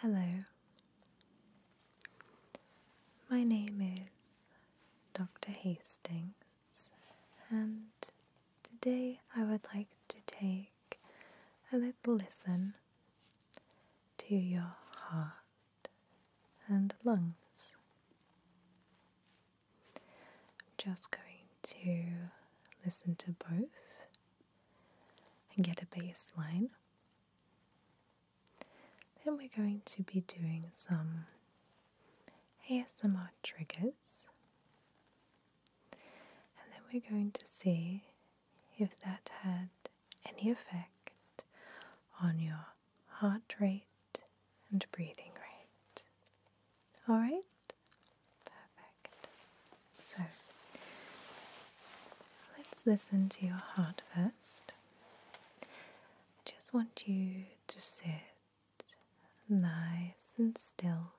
Hello, my name is Dr. Hastings, and today I would like to take a little listen to your heart and lungs. I'm just going to listen to both and get a baseline. Then we're going to be doing some ASMR triggers. And then we're going to see if that had any effect on your heart rate and breathing rate. Alright? Perfect. So let's listen to your heart first. I just want you to sit nice and still.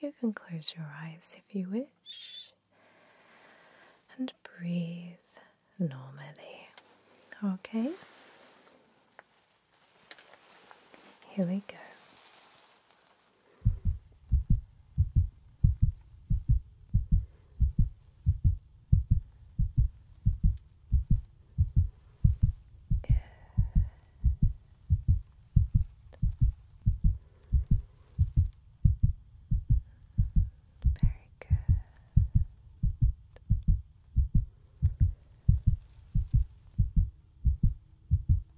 You can close your eyes if you wish and breathe normally. Okay? Here we go. Good. Very good. Good.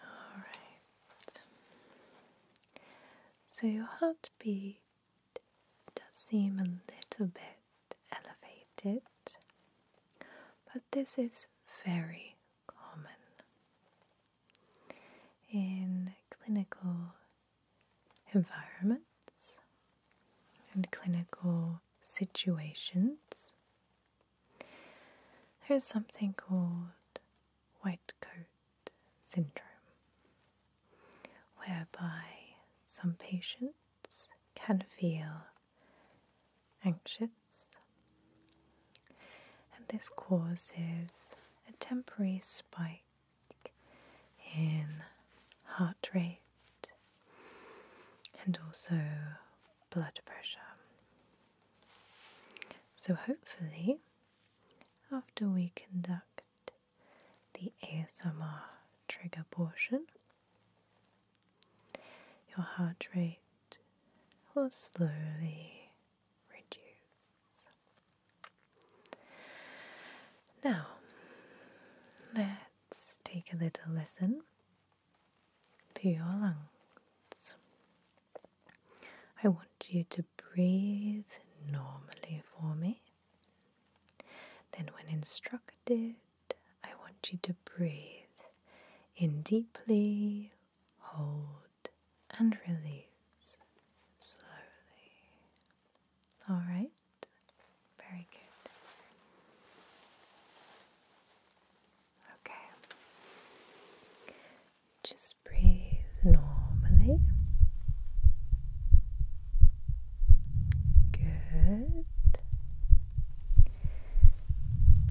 Alright. So your heartbeat does seem a little bit elevated, but this is very common. In clinical environments and clinical situations. There's something called white coat syndrome, whereby some patients can feel anxious, and this causes a temporary spike in heart rate and also blood pressure. So, hopefully, after we conduct the ASMR trigger portion, your heart rate will slowly reduce. Now, let take a little listen to your lungs. I want you to breathe normally for me. Then, when instructed, I want you to breathe in deeply, hold, and release slowly. All right. Very good. Okay. Just breathe normally. Good.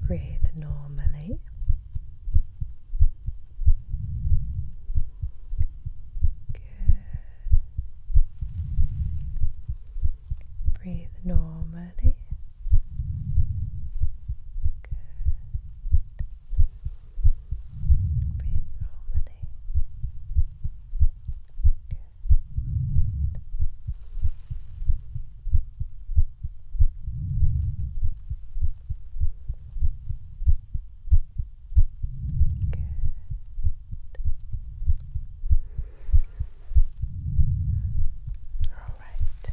Breathe normally. Good. Breathe normally. Good. Breathe normally. Good. Good. All right.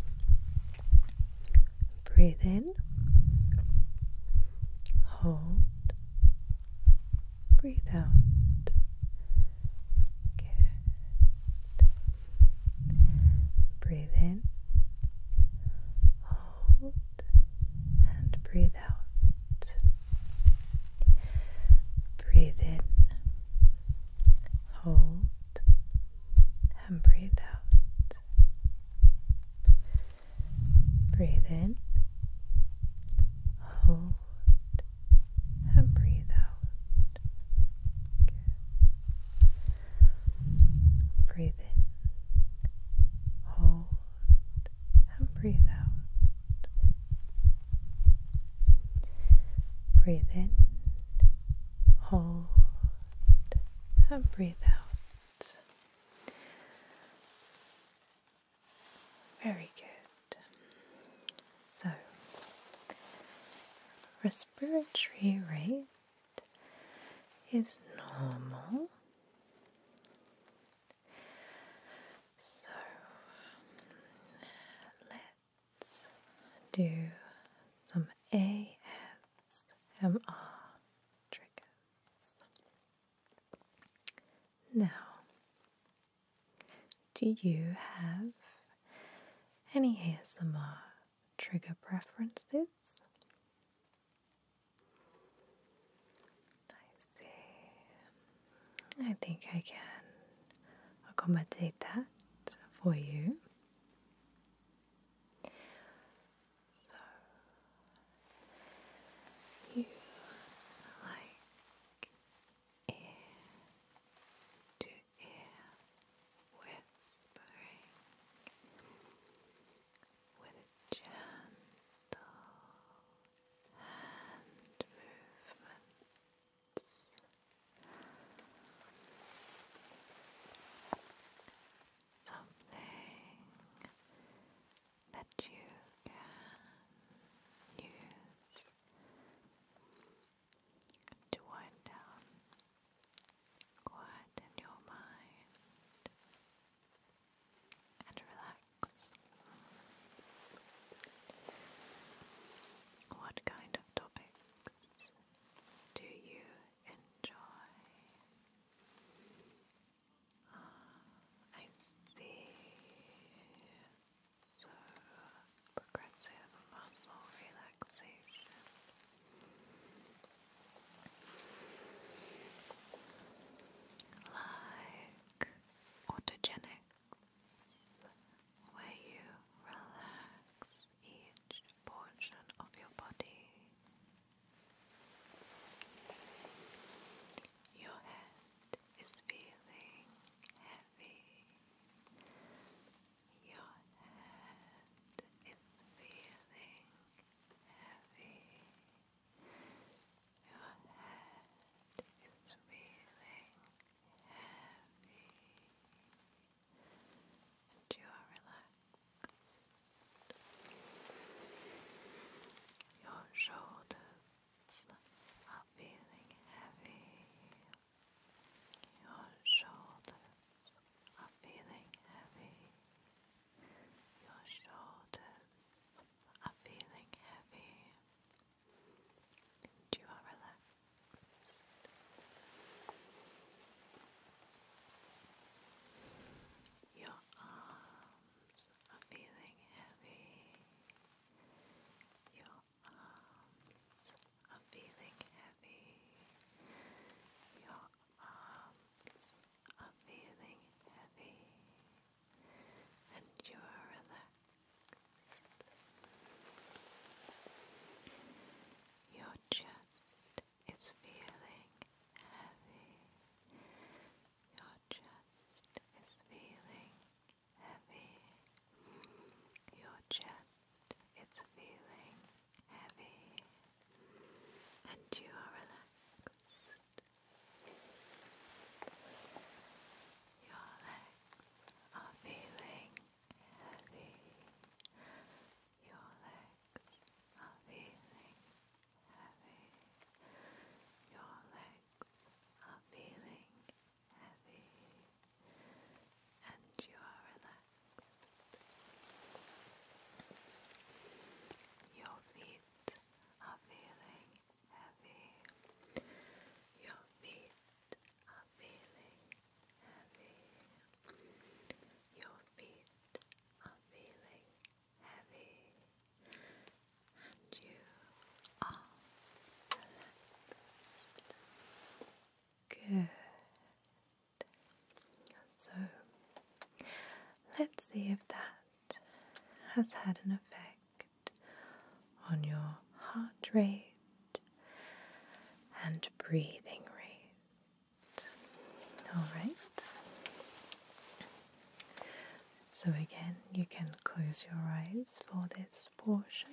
Breathe in. Hold. Breathe out. Good. Breathe in. Hold and breathe breathe out. Breathe in, hold, and breathe out. Breathe in, hold, and breathe out. Good. Breathe in, hold, and breathe out. Breathe in, hold, and breathe out. Very good. So, respiratory rate is normal so let's do some ASMR triggers. Now, do you have any ASMR trigger preferences? I see. I think I can accommodate that for you. So you like ear to ear whispering with gentle hand movements. Something that you can use to wind down quiet your mind and relax. What kind of topics do you enjoy? Oh, I see. So, progressive muscle relaxation like autogenics, where you relax each portion of your body. Your head is feeling heavy. Your head is feeling heavy. Your head is feeling heavy and you are relaxed. Your shoulders are feeling heavy. Your shoulders are feeling heavy. Your shoulders are feeling heavy and you are relaxed. Your arms are feeling heavy. Your arms are feeling heavy. Your arms are feeling heavy and you are relaxed. Your chest is feeling heavy. Your chest is feeling heavy. Your chest is feeling heavy. And you are relaxed. Your legs are feeling heavy. Your legs are feeling heavy. Your legs are feeling heavy. And you are relaxed. Your feet are feeling heavy. Your feet are feeling heavy. Your feet are feeling heavy. And you are relaxed. Good. So let's see if that has had an effect on your heart rate and breathing rate. Alright. So again, you can close your eyes for this portion.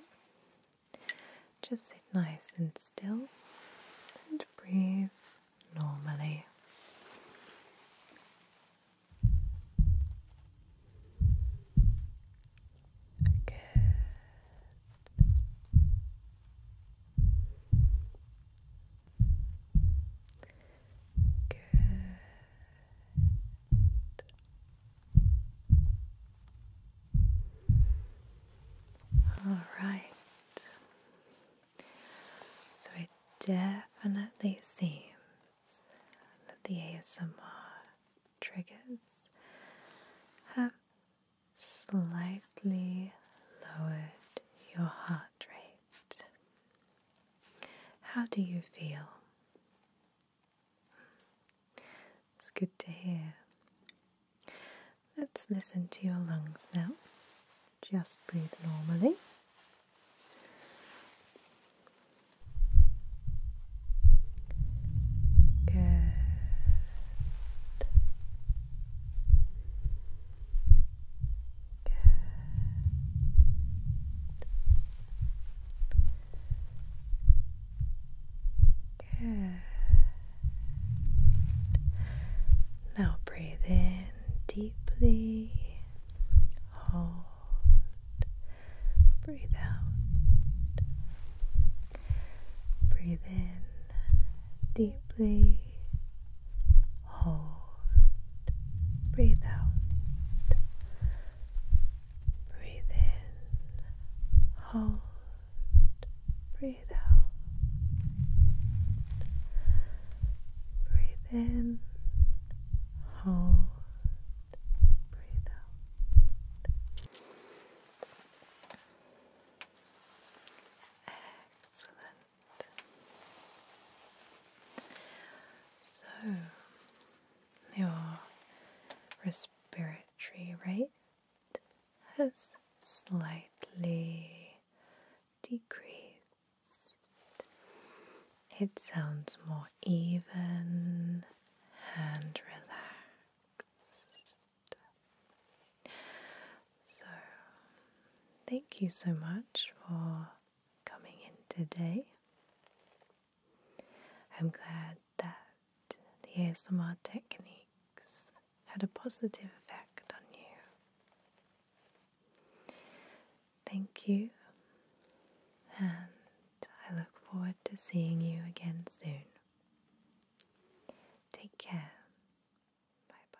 Just sit nice and still and breathe normally. Good. Good. All right. So it definitely seems that the ASMR triggers have slightly lowered your heart rate. How do you feel? It's good to hear. Let's listen to your lungs now. Just breathe normally. Good. Good. Good. Now breathe in deeply. Hold. Breathe out. Breathe in deeply. Hold. Breathe out. Breathe in. Hold breathe out, breathe in, hold, breathe out. Excellent. So, your respiratory right? has slightly decreased. It sounds more even and relaxed. So, thank you so much for coming in today. I'm glad that the ASMR techniques had a positive effect on you. Thank you, and I look forward to seeing you again soon. Take care. Bye bye.